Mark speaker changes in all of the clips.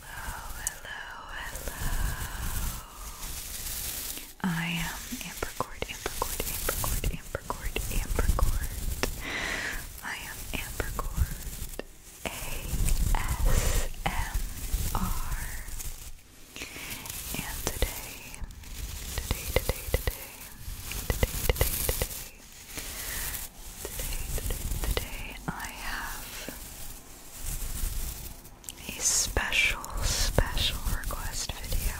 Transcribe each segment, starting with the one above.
Speaker 1: Hello, hello, hello. I am Ambercord, Ambercord, Ambercord, Ambercord, Ambercord. I am Ambercord. ASMR. And today, today, today, today, today, today, today, today, today, I have a special, special request video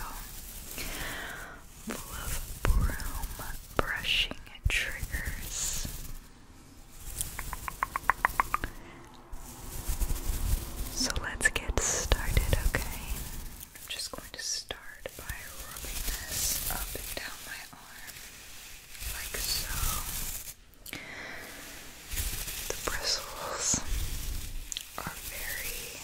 Speaker 1: full of broom brushing triggers. So let's get started, okay? I'm just going to start by rubbing this up and down my arm, like so. The bristles are very.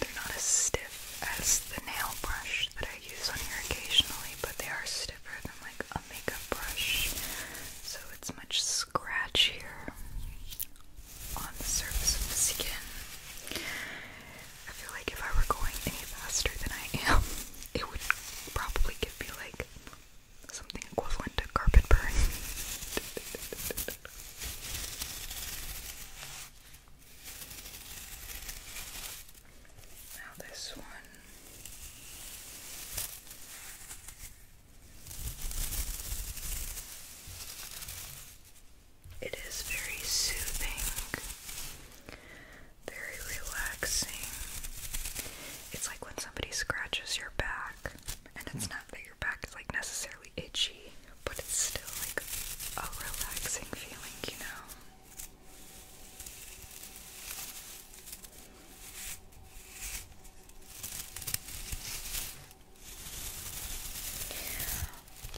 Speaker 1: They're not as stiff as the nail brush that I use on here occasionally, but they are stiffer than like a makeup brush, so it's much scratch here on the surface of the skin. I feel like if I were going any faster than I am, it would probably give me like something equivalent to carpet burn. now this one. It is very soothing, very relaxing. It's like when somebody scratches your back, and it's hmm. not that your back is like necessarily itchy, but it's still like a relaxing feeling, you know.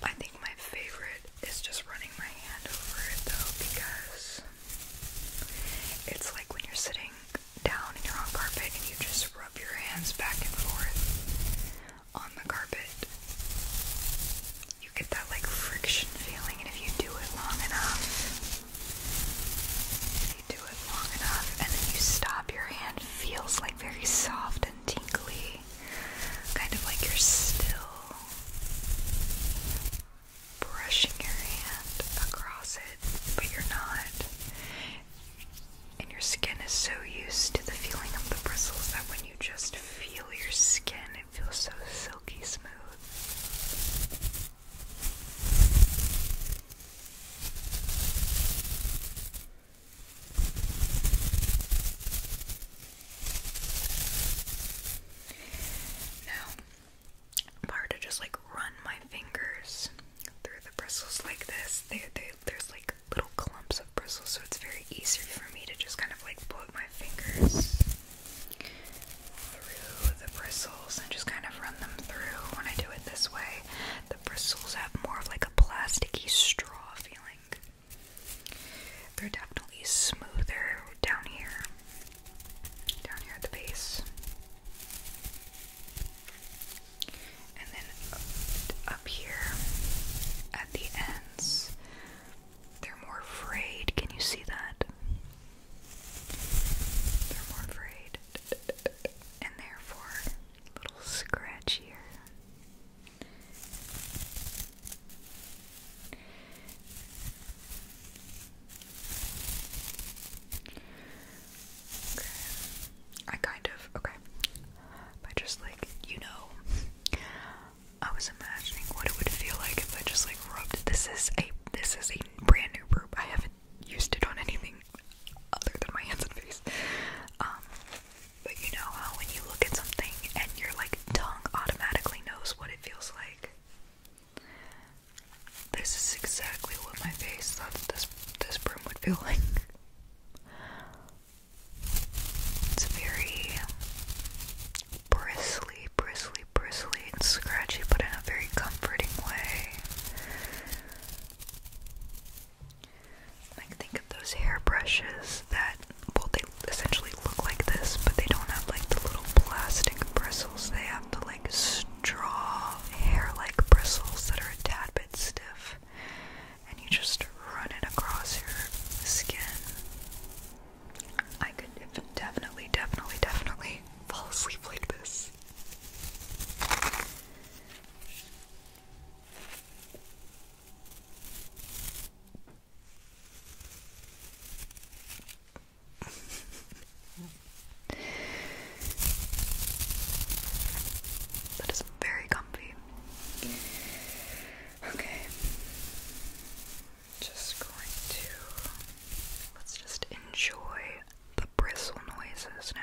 Speaker 1: I think my favorite is just running my hand over it though because it's like when you're sitting down and you're on carpet and you just rub your hands back and forth on the carpet. You get that like friction feeling and if you do it long enough do it long enough and then you stop, your hand feels like very soft and tingly, kind of like you're still brushing your hand across it, but you're not. And your skin is so used to the feeling of the bristles that when you just feel your skin, it feels so silky smooth. Now, hard to just like run my fingers through the bristles like this. They, they, there's like little clumps of bristles, so it's very easy for me to just kind of like put my fingers through the bristles and just kind of run them through when I do it this way. The bristles have more of like a plasticky straw feeling. They're definitely smoother down here. Down here at the base. And then up here at the ends, they're more frayed. Can you see that? They're more frayed. and therefore little scratchier. Okay. I kind of okay. I just like you know, I was imagining what it would feel like if I just like rubbed. This is a this is a brand new group. I haven't used it on anything other than my hands and face. Um, but you know how when you look at something and your like tongue automatically knows what it feels like. This is exactly what my face thought this this broom would feel like. It's very bristly, bristly, bristly, and scratchy, but in a very comforting way. Like think of those hairbrushes that well they essentially look like this, but they don't have like the little plastic bristles. They have the like straw hair-like bristles that are a tad bit stiff, and you just run it across your skin. I could definitely, definitely, definitely fall asleep like this that is very comfy. Okay. Just going to let's just enjoy the bristle noises now.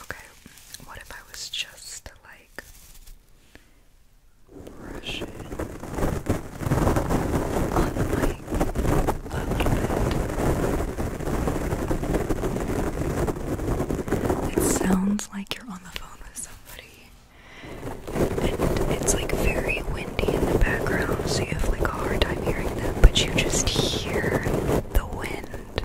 Speaker 1: Okay, what if I was just like brush on the mic It sounds like you're on the phone with somebody. And it's like very windy in the background, so you have like a hard time hearing them, but you just hear the wind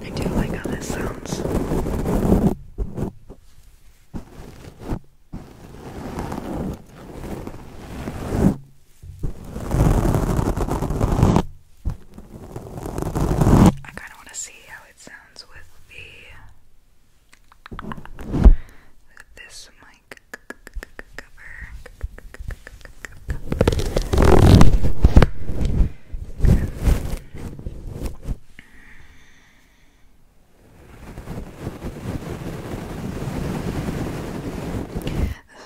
Speaker 1: I do like how this sounds. I kind of want to see how it sounds with the with this mic cover. This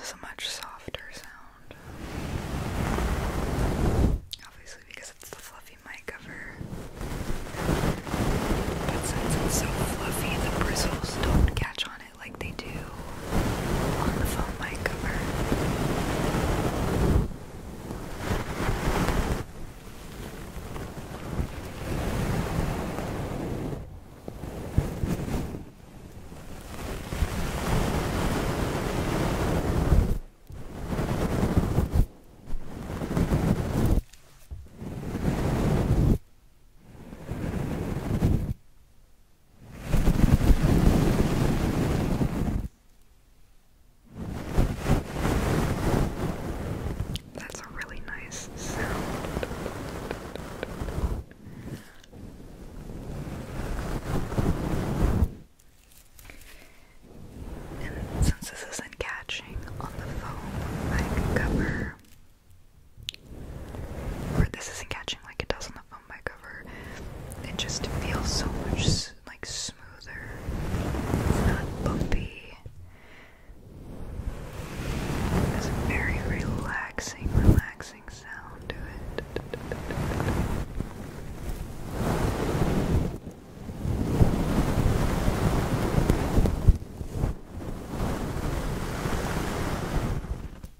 Speaker 1: is a much softer sound. Obviously, because it's the fluffy mic cover. But since it's so fluffy, the bristles don't catch on like they do on the phone mic cover. That's a really nice sound. And since this isn't catching on the foam, I cover this isn't catching like it does on the phone by cover. It just feels so much like smoother. not bumpy. It's a very relaxing, relaxing sound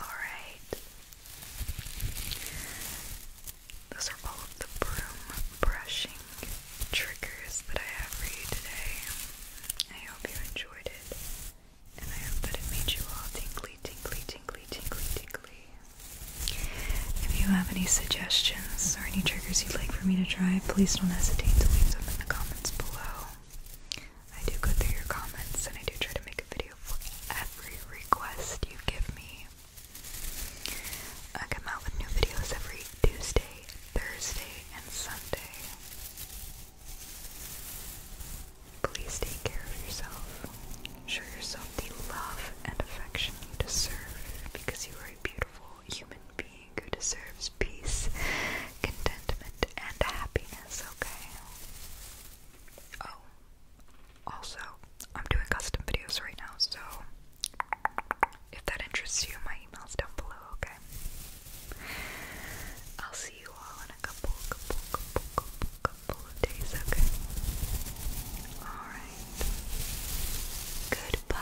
Speaker 1: Alright. Those are all of the broom brushing triggers that I have for you today. I hope you enjoyed it. And I hope that it made you all tingly, tingly, tingly, tingly, tingly. If you have any suggestions or any triggers you'd like for me to try, please don't hesitate to leave them in the comments below. I do go through your comments and I do try to make a video for every request you give me. I come out with new videos every Tuesday, Thursday, and Sunday. Please take care of yourself. Show yourself the love and affection you deserve because you are a beautiful human being who deserves peace, contentment, and happiness, okay? Oh, also, I'm doing custom videos right now, so if that interests you, my email's down below, okay? I'll see see you all in a couple, couple, couple, couple, couple of days, okay? Alright. Goodbye.